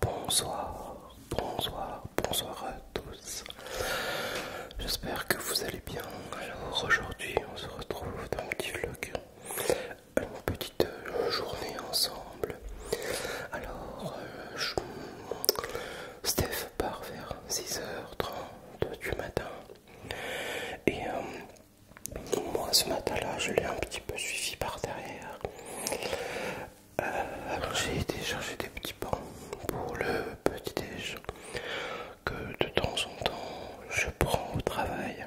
Bonsoir, bonsoir, bonsoir à tous. J'espère que vous allez bien. Alors aujourd'hui, on se retrouve dans un petit vlog, une petite euh, journée ensemble. Alors, euh, Steph part vers 6h30 du matin. Et euh, moi, ce matin-là, je l'ai un petit peu suivi par derrière. Euh, alors j'ai été chercher des petits pains pour le petit déj que de temps en temps je prends au travail.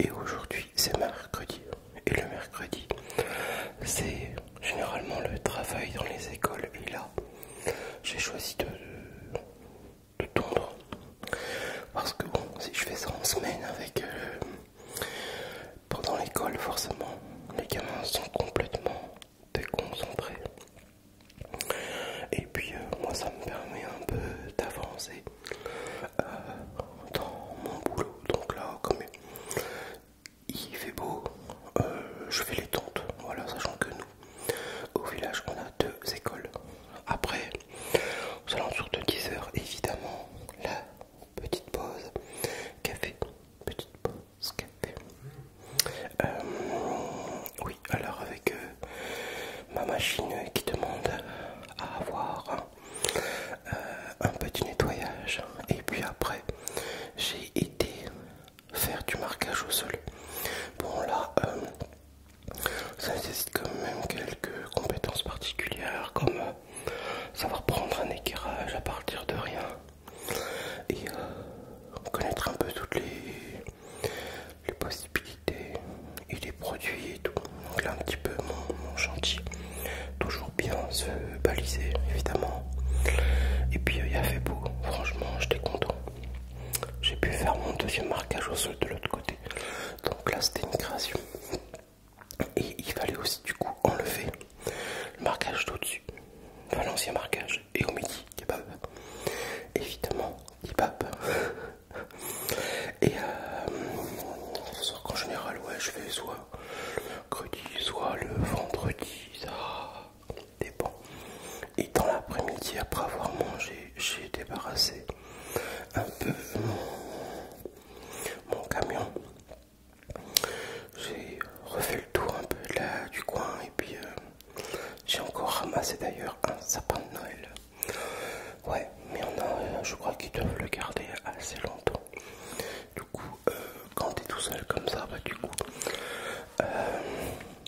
Et aujourd'hui c'est mercredi. Et le mercredi c'est généralement le travail dans les écoles. Et là j'ai choisi de, de, Parce que bon si je fais ça en semaine avec le euh, pendant l'école, forcément, les gamins sont complètement déconcentrés. Et puis, euh, moi, ça me permet un peu d'avancer euh, dans mon boulot. Donc là, comme il fait beau, euh, je fais les tentes. Voilà, sachant que nous, au village, on a deux écoles. Après, aux alentours de 10 heures, évidemment, là, petite pause café, petite pause café. Euh, oui, alors avec euh, ma machine qui demande à avoir euh, un petit nettoyage, et puis après j'ai été faire du marquage au sol. Bon là, ça nécessite quand même quelques compétences particulières comme euh, savoir prendre un éclairage à partir de rien et euh, connaître un peu toutes les, possibilités et les produits et tout. Donc là un petit peu mon, chantier. Toujours bien se baliser évidemment. Et puis euh, il y a fait beau, franchement j'étais content. J'ai pu faire mon deuxième marquage au sol de l'autre côté. Donc là, c'était une création. Et il fallait aussi, du coup, enlever le marquage d'au-dessus, enfin l'ancien marquage, et au midi, kebab. Évidemment, kebab. et euh, qu'en général, ouais, je fais soit le mercredi, soit le vendredi, ça dépend. Et dans l'après-midi, après avoir mangé, j'ai débarrassé un peu mon, camion. J'ai refait le tour un peu là du coin et puis euh, j'ai encore ramassé d'ailleurs un sapin de Noël. Ouais, mais on a, euh, je crois qu'ils doivent le garder assez longtemps. Du coup, euh, quand t'es tout seul comme ça, bah du coup,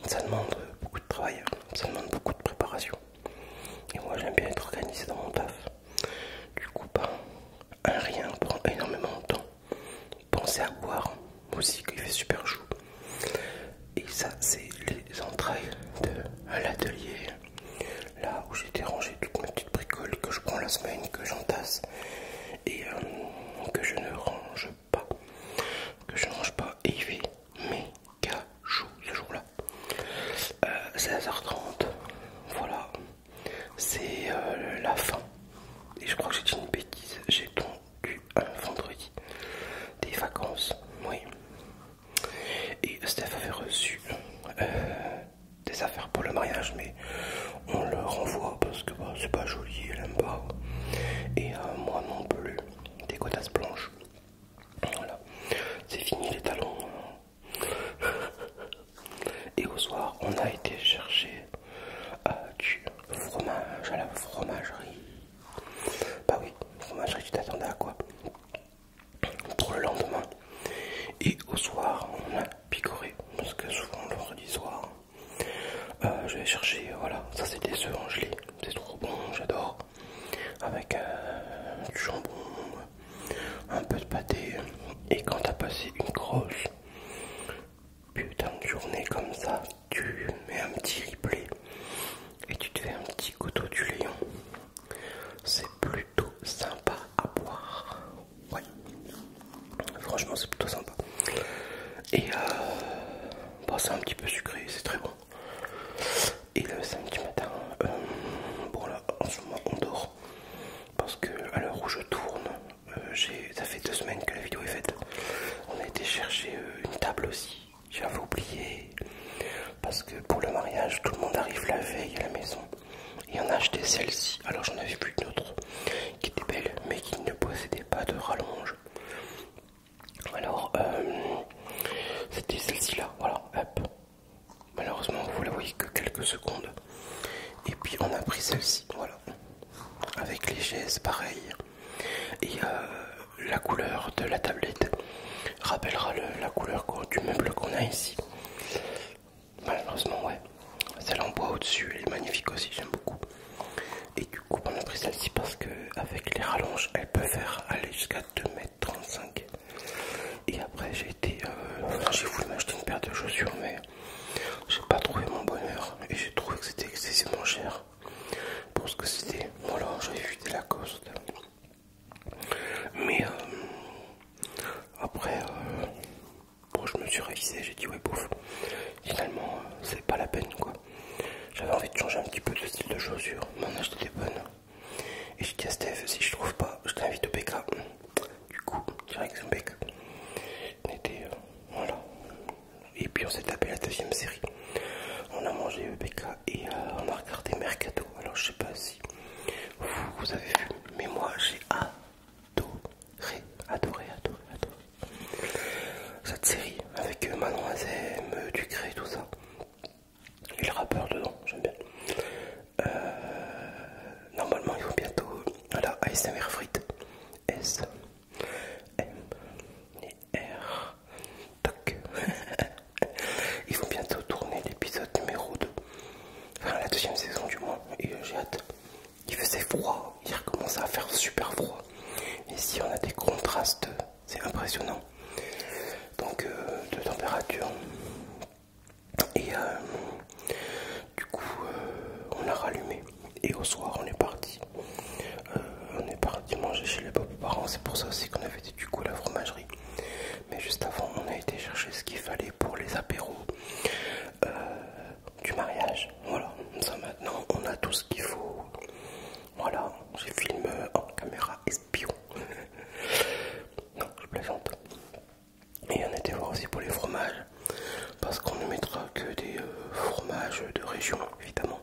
ça demande beaucoup de travail, hein. ça demande beaucoup de préparation. Et moi j'aime bien être organisé dans mon taf. Du coup, bah, un rien prend énormément de temps. Pensez à boire aussi qu'il fait super chaud. Et ça, c'est les entrailles de l'atelier. Là où j'ai dérangé toutes mes petites bricoles que je prends la semaine, que j'entasse et euh, que je ne range pas. Que je ne range pas. Et il fait mais ce jour-là. 16h30, euh, voilà, c'est euh, la fin. Et je crois que j'ai dit une bêtise, j'ai eu un vendredi des vacances, oui. Et Steph avait reçu euh, des affaires pour le mariage, mais on le renvoie parce que bah, c'est pas joli, elle aime pas. Et moi non plus, des cotas blanches. Voilà, c'est fini les talons. Et au soir, on a été chercher euh, du fromage à la fromagerie. Bah oui, fromagerie, tu t'attendais à quoi Pour le lendemain. Et au soir, on a picoré. Parce que souvent, le vendredi soir, euh, je vais chercher, voilà, ça c'était ce œufs c'est trop bon, j'adore. Avec euh, du jambon, un peu de pâté. Et quand t'as passé une grosse putain de journée comme ça, tu mets un petit replay et tu te fais un petit couteau du lion. C'est plutôt sympa à boire. Ouais. Franchement, c'est plutôt sympa. Et euh, bah, c'est un petit peu sucré, c'est très bon. Et le samedi matin, euh, bon là en ce moment on dort parce que à l'heure où je tourne, euh, ça fait deux semaines que la vidéo est faite. On a été chercher une table aussi, j'avais oublié parce que pour le mariage tout le monde arrive la veille à la maison et on a acheté celle-ci. Alors j'en avais vu une autre qui était belle mais qui ne possédait pas de rallonge alors, euh, c'était celle-ci là, voilà, hop. Malheureusement, vous la voyez que quelques secondes. Et puis on a pris celle-ci, voilà. Avec les chaises, pareil. Et euh, la couleur de la tablette rappellera la couleur du meuble qu'on a ici. Malheureusement, ouais. Celle en bois au-dessus, elle est magnifique aussi, j'aime beaucoup. Et du coup, on a pris celle-ci parce qu'avec les rallonges, elle peut faire aller jusqu'à 2m35. Et après, j'ai été. Euh, j'ai voulu m'acheter une paire de chaussures, mais j'ai pas trouvé mon bonheur et j'ai trouvé que c'était excessivement cher pour ce que c'était. Voilà, j'avais vu la coste Mais euh, après, euh, Bon, je me suis révisé, j'ai dit ouais, bouffe. Finalement, euh, c'est pas la peine quoi. J'avais envie de changer un petit peu de style de chaussure, mais on a acheté des bonnes. Et j'ai dit à Steph, si je trouve pas, je t'invite au BK. Du coup, direction BK. On était. Euh, voilà. Et puis on s'est tapé la deuxième série. On a mangé BK et euh, on a regardé Mercado. Alors je sais pas si vous, vous avez vu, mais moi j'ai adoré, adoré, adoré, adoré cette série avec Manon Azem, Ducré, tout ça. Et le rappeur dedans, j'aime bien. Euh, normalement, ils vont bientôt à ASMR Frites. S, M, R, toc. ils vont bientôt tourner l'épisode numéro 2. Enfin, la deuxième saison du moins. Et euh, j'ai hâte il faisait froid, il recommençait à faire super froid. Ici, on a des contrastes, c'est impressionnant. Donc, euh, de température. Et euh, du coup, euh, on a rallumé. Et au soir, on est parti. on est parti manger chez les beaux-parents. C'est pour ça aussi qu'on avait dit du coup la fromagerie. Mais juste avant, on a été chercher ce qu'il fallait pour les apéros euh, du mariage. Voilà, ça maintenant on a tout ce qu'il faut. Voilà, j'ai filmé en caméra espion. non, je plaisante. Et on était voir aussi pour les fromages, parce qu'on ne mettra que des euh, fromages de région, évidemment.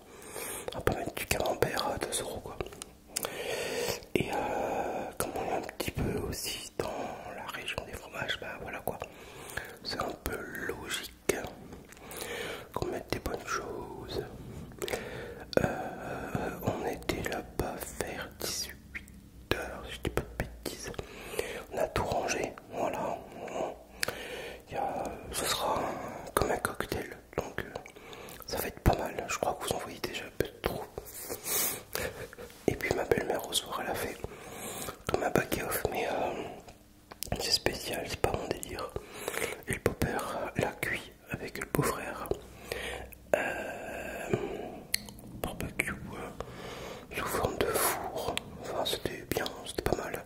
On peut mettre du camembert à 2 quoi. Et euh, comme on est un petit peu aussi dans la région des fromages, bah voilà quoi c'est un peu logique qu'on mette des bonnes choses. Euh, on était là-bas vers 18h, si je dis pas de bêtises. On a tout rangé, voilà. ce sera comme un cocktail, donc euh, ça va être pas mal. Je crois que vous en voyez déjà un peu trop. Et puis ma belle-mère au soir elle a fait comme un baguette off mais euh, c'est spécial, c'est pas mon délire. Et le beau-père l'a cuit avec le beau-frère. Euh, barbecue euh, sous forme de four. Enfin c'était bien, c'était pas mal.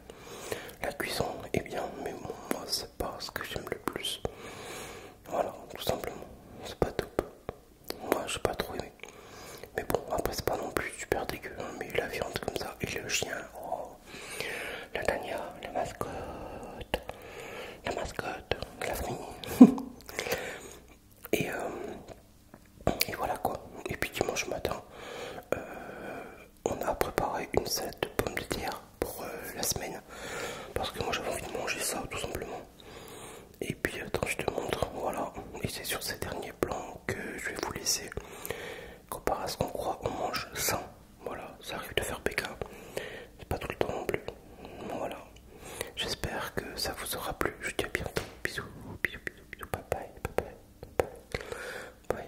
La cuisson est bien, mais bon, moi c'est pas ce que j'aime le plus. Voilà, tout simplement, c'est pas top. Moi je sais pas trop aimé. Mais bon, après c'est pas non plus super dégueu, hein, mais la viande comme ça, et le chien, oh, la Tania, la mascotte, la mascotte, la famille. et, euh, et voilà quoi. Et puis dimanche matin, euh, on a préparé une salade de pommes de terre pour euh, la semaine. Parce que moi j'avais envie de manger ça tout simplement. Et puis attends, je te montre, voilà. Et c'est sur ces derniers plans que je vais vous laisser. Comparé à ce qu'on croit, on mange sans Voilà, ça arrive de faire PK. C'est pas tout le temps non plus. Voilà. J'espère que ça vous aura plu. Je vous dis à bientôt. Bisous, bisous, bisous, bisous. bye bye, bye.